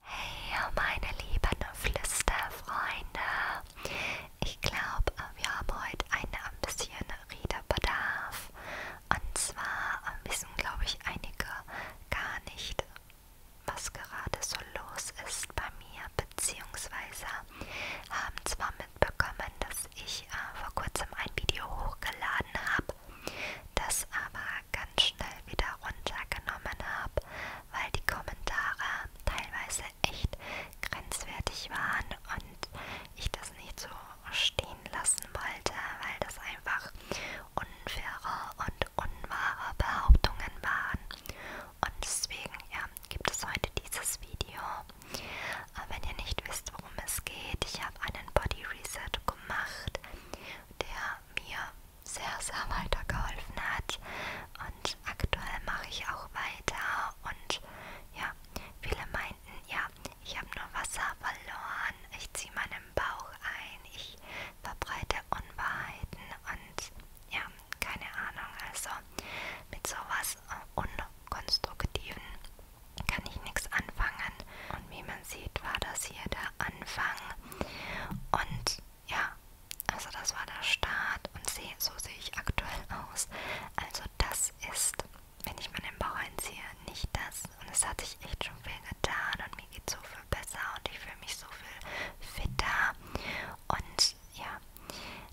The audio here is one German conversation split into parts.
Hey meine lieben Flüsterfreunde, ich glaube wir haben heute ein bisschen Redebedarf und zwar wissen glaube ich einige gar nicht, was gerade so los ist bei mir beziehungsweise haben zwar mitbekommen, dass ich äh, vor kurzem ein Video hochgeladen habe, das aber ganz schnell wieder runtergenommen habe, weil die Kommentare teilweise echt grenzwertig waren und ich das nicht so stehen lassen wollte, weil das einfach unfaire und unwahre Behauptungen waren. Und deswegen ja, gibt es heute dieses Video. Wenn ihr nicht wisst, worum es geht, ich habe einen Body Reset gemacht, der mir sehr, sehr weitergeholfen hat. Und aktuell mache ich auch weiter. Und ja, viele meinten, ja, ich habe nur Wasser verloren. Ich ziehe meinen Bauch ein. Ich verbreite Unwahrheiten. Und ja, keine Ahnung. Also mit sowas äh, Unkonstruktiven kann ich nichts anfangen. Und wie man sieht, war das hier der Anfang. Und ja, also das war der Start und seh, so sehe ich aktuell aus. Also das ist, wenn ich mir den Bauch einziehe, nicht das. Und es hat sich echt schon viel getan und mir geht so viel besser und ich fühle mich so viel fitter. Und ja,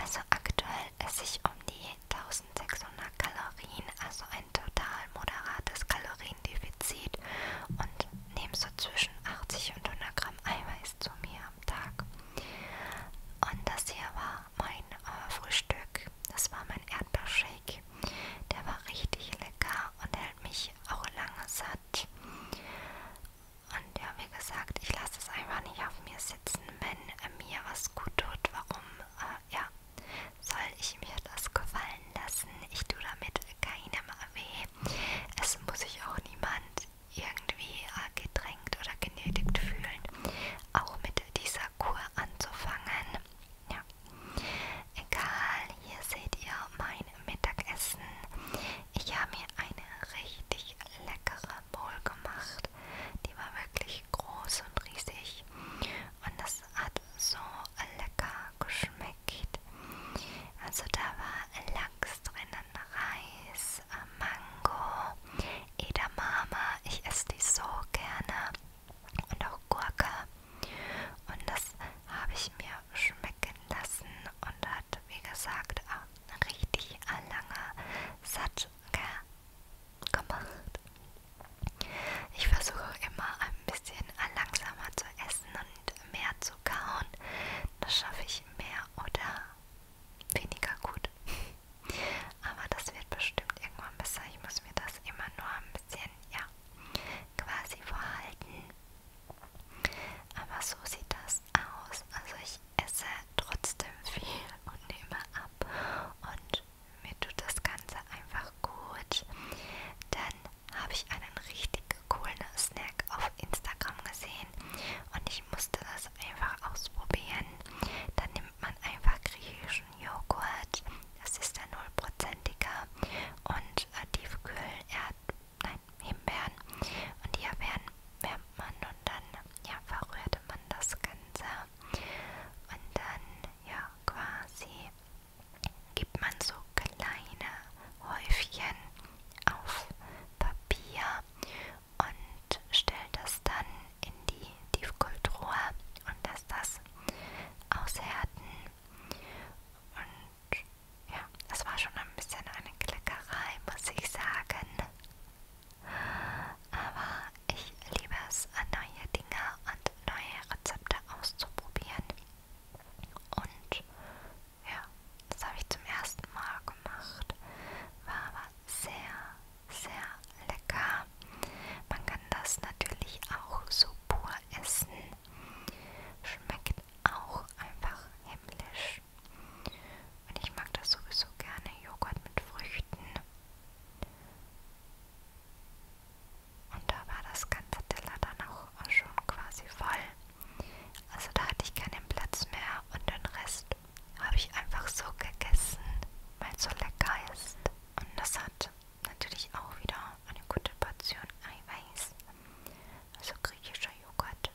also aktuell esse ich um die 1600 Kalorien, also ein total moderates Kaloriendefizit. Defizit und nehme so zwischen 80 und 100 Gramm Eiweiß zu mir am Tag. Und das hier war mein äh, Frühstück. Das war mein Erdbeershake. Der war richtig lecker und hält mich auch lange satt. Und ja, wie gesagt, ich lasse es einfach nicht auf mir sitzen, wenn äh, mir was gut tut. Warum? Äh, ja, soll ich mir das gefallen lassen? Ich tue damit keinem weh. Es muss sich auch niemand irgendwie äh, gedrängt oder genötigt fühlen, auch mit dieser Kur anzufangen. Ja. Egal, hier seht ihr mein Mittagessen. Ich habe mir eine richtig leckere Bowl gemacht. Die war wirklich groß und riesig. Und das hat so lecker geschmeckt. Also da war Lachs drinnen, Reis, äh, Mango, Edamame. Ich esse die so gerne. Und auch Gurke. Und das habe ich mir schmecken lassen und hat, wie gesagt, auch richtig lange satt gemacht. Ich versuche immer ein bisschen langsamer zu essen und mehr zu so kauen, das schaffe ich mehr oder weniger gut. Aber das wird bestimmt irgendwann besser. Ich muss mir das immer nur ein bisschen, ja, quasi vorhalten. Aber so sieht das aus. Also ich esse trotzdem viel und nehme ab. Und mir tut das Ganze einfach gut. Dann habe ich einen richtig coolen Snack auf Instagram gesehen und ich musste das einfach ausprobieren. Dann nimmt man einfach griechischen Joghurt, das ist der nullprozentiger und äh, Tiefkühl-Erd, nein, Himbeeren und die Himbeeren wärmt man und dann ja, verrührte man das Ganze und dann ja quasi klebt man so kleine Häufchen auf Papier und stellt das dann in die Tiefkühltruhe und lässt das aushärten. Und ja, das war schon ein bisschen eine Kleckerei, muss ich sagen. Aber ich liebe es, neue Dinge und neue Rezepte auszuprobieren. Und ja, das habe ich zum ersten Mal gemacht. War aber sehr, sehr lecker. Man kann das natürlich auch so pur essen. Schmeckt auch einfach himmlisch. Und ich mag das sowieso gerne, Joghurt mit Früchten. Und da war das ganze Teller dann auch schon quasi voll. Also da hatte ich keinen Platz mehr und den Rest habe ich einfach so gegessen, weil es so lecker ist. Und das hat natürlich auch wieder eine gute Portion Eiweiß, also griechischer Joghurt.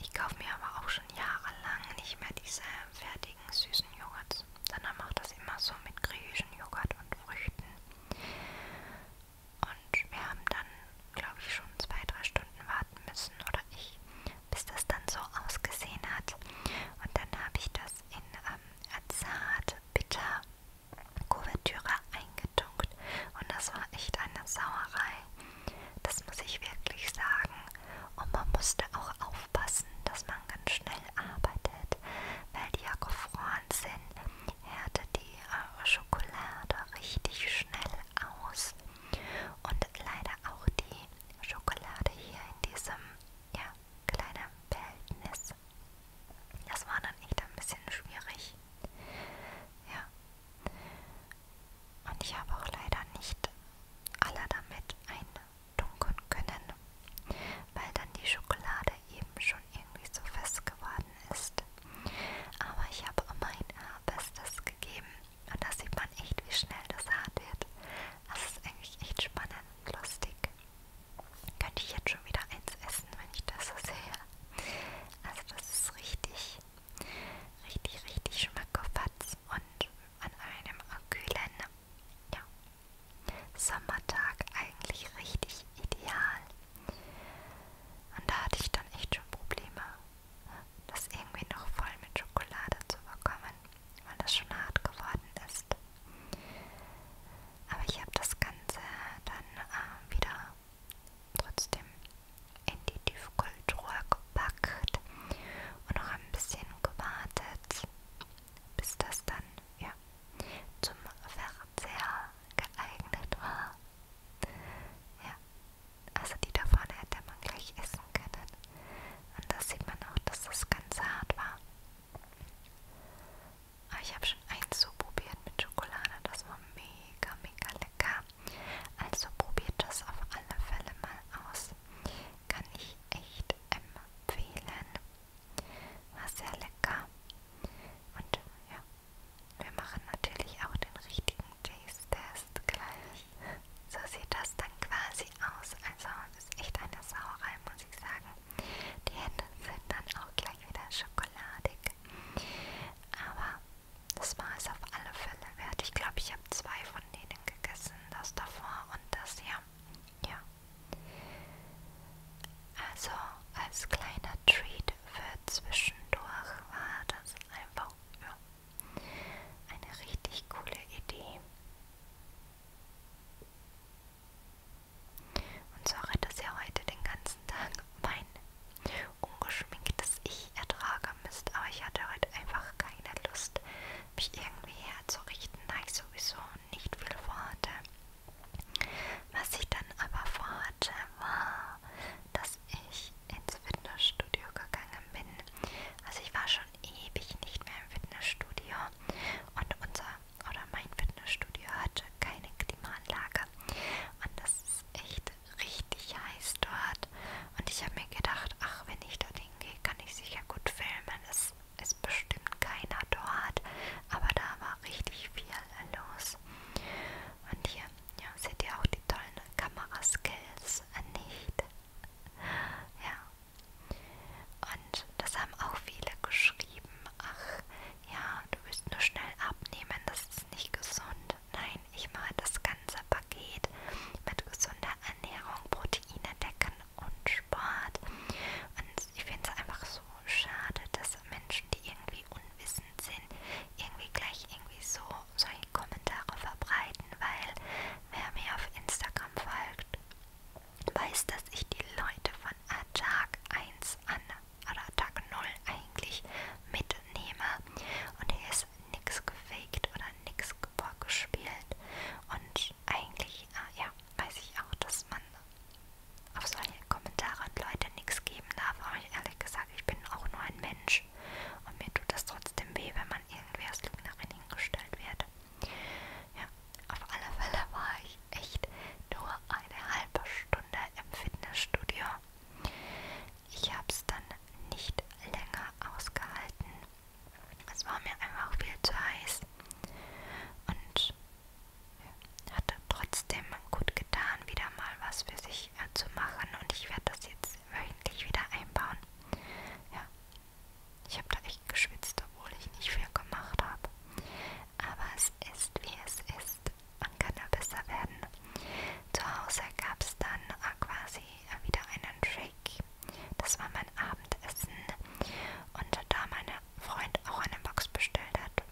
Ich kaufe mir aber auch schon jahrelang nicht mehr diese fertigen süßen Joghurts, sondern mache das immer so mit griechischem Joghurt und Früchten. Und wir haben dann, glaube ich, schon zwei, drei Stunden warten müssen oder ich, bis das dann so ausgesehen hat. Und dann habe ich das in ähm, zart bitter Kuvertüre eingetunkt. Und das war echt eine Sauerei. Das muss ich wirklich sagen. Und man musste auch aufpassen, dass man ganz schnell arbeitet, weil die ja gefroren sind härte die äh, Schokolade richtig schnell aus und leider auch die Schokolade hier in diesem ja, kleinen Behältnis. Das war dann echt ein bisschen schwierig. Ja. Und ich habe auch leider nicht alle damit eintunken können, weil dann die Schokolade eben schon irgendwie so fest geworden geworden ist. Aber ich habe mein Bestes gegeben und da sieht man echt, wie schnell das hart wird. Das ist eigentlich echt spannend und lustig. Könnte ich jetzt schon wieder eins essen, wenn ich das so sehe. Also das ist richtig, richtig, richtig schmackofatz und an einem kühlen ja, Sommertag eigentlich richtig ideal. Und da hatte ich dann echt schon Probleme, das irgendwie noch voll mit Schokolade zu bekommen, weil das schon hart geworden ist. Aber ich habe das Ganze dann äh, wieder trotzdem in die Tiefkultur gepackt und noch ein bisschen gewartet, bis das dann ja, zum Ver sehr geeignet war. Ja, also die da vorne hätte man gleich essen können. Und da sieht man auch, dass das Ganze hart war. Aber ah, ich habe schon eins so probiert mit Schokolade, das war mega, mega lecker. Also probiert das auf alle Fälle mal aus. Kann ich echt empfehlen. War sehr lecker. Und ja, wir machen natürlich auch den richtigen Taste-Test gleich. So sieht das dann quasi aus. Also das ist echt eine Sauerei, muss ich sagen. Die Hände sind dann auch gleich wieder schokoladig. Aber das war es auf alle Fälle wert. Ich glaube, ich habe zwei von denen gegessen. Das davor und das hier. Ja. Also als kleiner Treat für zwischendurch war das einfach ja, eine richtig coole Idee. Und so hat das ja heute den ganzen Tag mein ungeschminktes Ich ertragen müsst, aber ich hatte heute einfach keine Lust, mich irgendwie herzurichten, da ich sowieso nicht viel vorhatte. Was ich dann aber vorhatte, Mathe war, dass ich ins Fitnessstudio gegangen bin. Also ich war schon ewig nicht mehr im Fitnessstudio und unser oder mein Fitnessstudio hatte keine Klimaanlage und das ist echt richtig heiß dort und ich habe mir gedacht, ach wenn ich dorthin gehe, kann ich sicher gut filmen. Es ist bestimmt keiner dort, aber da war richtig viel los. Und hier ja, seht ihr auch die tollen Kameraskills äh, nicht? Ja. Und das haben auch viele geschrieben. Ach, ja, du willst nur schnell abnehmen, das ist nicht gesund. Nein, ich mache das ganze Paket mit gesunder Ernährung, Proteine, Decken und Sport. Und ich finde es einfach so schade, dass Menschen, die irgendwie irgendwie unwissend sind, irgendwie gleich irgendwie so solche Kommentare verbreiten, weil wer mir auf Instagram folgt, weiß, dass ich die Leute von Tag 1 an oder Tag 0 eigentlich mitnehme und hier ist nichts gefaked oder nichts vorgespielt und eigentlich, äh, ja, weiß ich auch, dass man auf solche Kommentare und Leute nichts geben darf, aber ich, ehrlich gesagt, ich bin auch nur ein Mensch Mensch. Und mir tut das trotzdem weh, wenn man irgendwie als Lügnerin hingestellt wird. Ja, auf alle Fälle war ich echt nur eine halbe Stunde im Fitnessstudio. Ich habe es dann nicht länger ausgehalten. Es war mir einfach viel zu heiß und hatte trotz trotzdem gut getan, wieder mal was für sich äh, zu machen und ich werde das jetzt wöchentlich wieder einbauen. Ja, ich habe da echt geschwitzt, obwohl ich nicht viel gemacht habe. Aber es ist wie es ist. Man kann da besser werden. Zu Hause gab es dann äh, quasi äh, wieder einen Shake. Das war mein Abendessen. Und da meine Freund auch eine Box bestellt hat,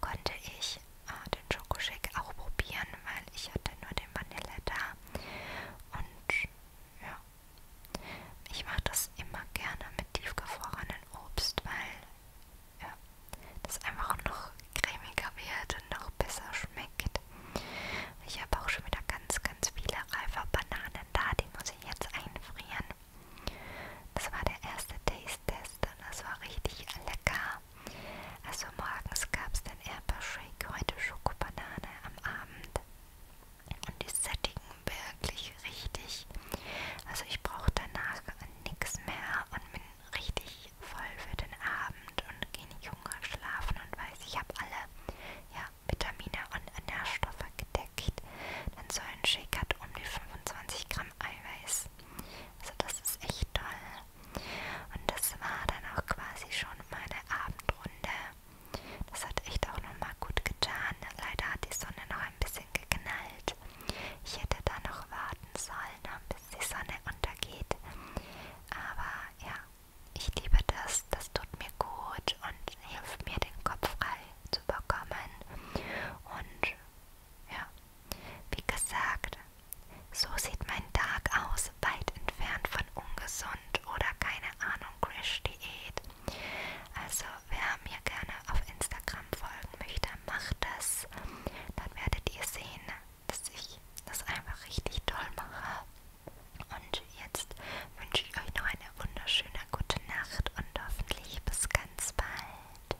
konnte ich äh, den Schokoshake auch probieren, weil ich hatte nur den Vanille da. Und ja, ich mache das immer gerne mit tiefgefrorenen Obst, weil ja, das einfach noch cremiger wird und noch besser schmeckt. Ich habe auch schon wieder ganz, ganz viele reife Bananen da, die muss ich jetzt einfrieren. Das war der erste Taste-Test und das war richtig lecker. Also morgens gab's dann Erper Shake, heute Schokobanane am Abend. Und die sättigen wirklich richtig. Also ich brauche danach nichts mehr und bin richtig voll für den Abend und gehe nicht hungrig schlafen und weiß, ich habe alle ja, Vitamine und Nährstoffe gedeckt. Dann so ein Shake hat um die 25 Gramm Eiweiß. Also das ist echt toll. Und das war dann auch quasi schon meine Abendrunde. Das hat echt auch nochmal gut getan. Leider hat die Sonne noch ein bisschen geknallt. Ich hätte da noch warten sollen, ne, bis die Sonne untergeht. Aber ja, ich liebe das. Das tut mir gut und hilft mir, den Kopf frei zu bekommen. Und ja, wie gesagt, so sieht mein Tag aus, weit entfernt von ungesund oder keine Ahnung, Crash-Diät. Also, wer mir gerne auf Instagram folgen möchte, macht das. Dann werdet ihr sehen, dass ich das einfach richtig toll mache. Und jetzt wünsche ich euch noch eine wunderschöne gute Nacht und hoffentlich bis ganz bald.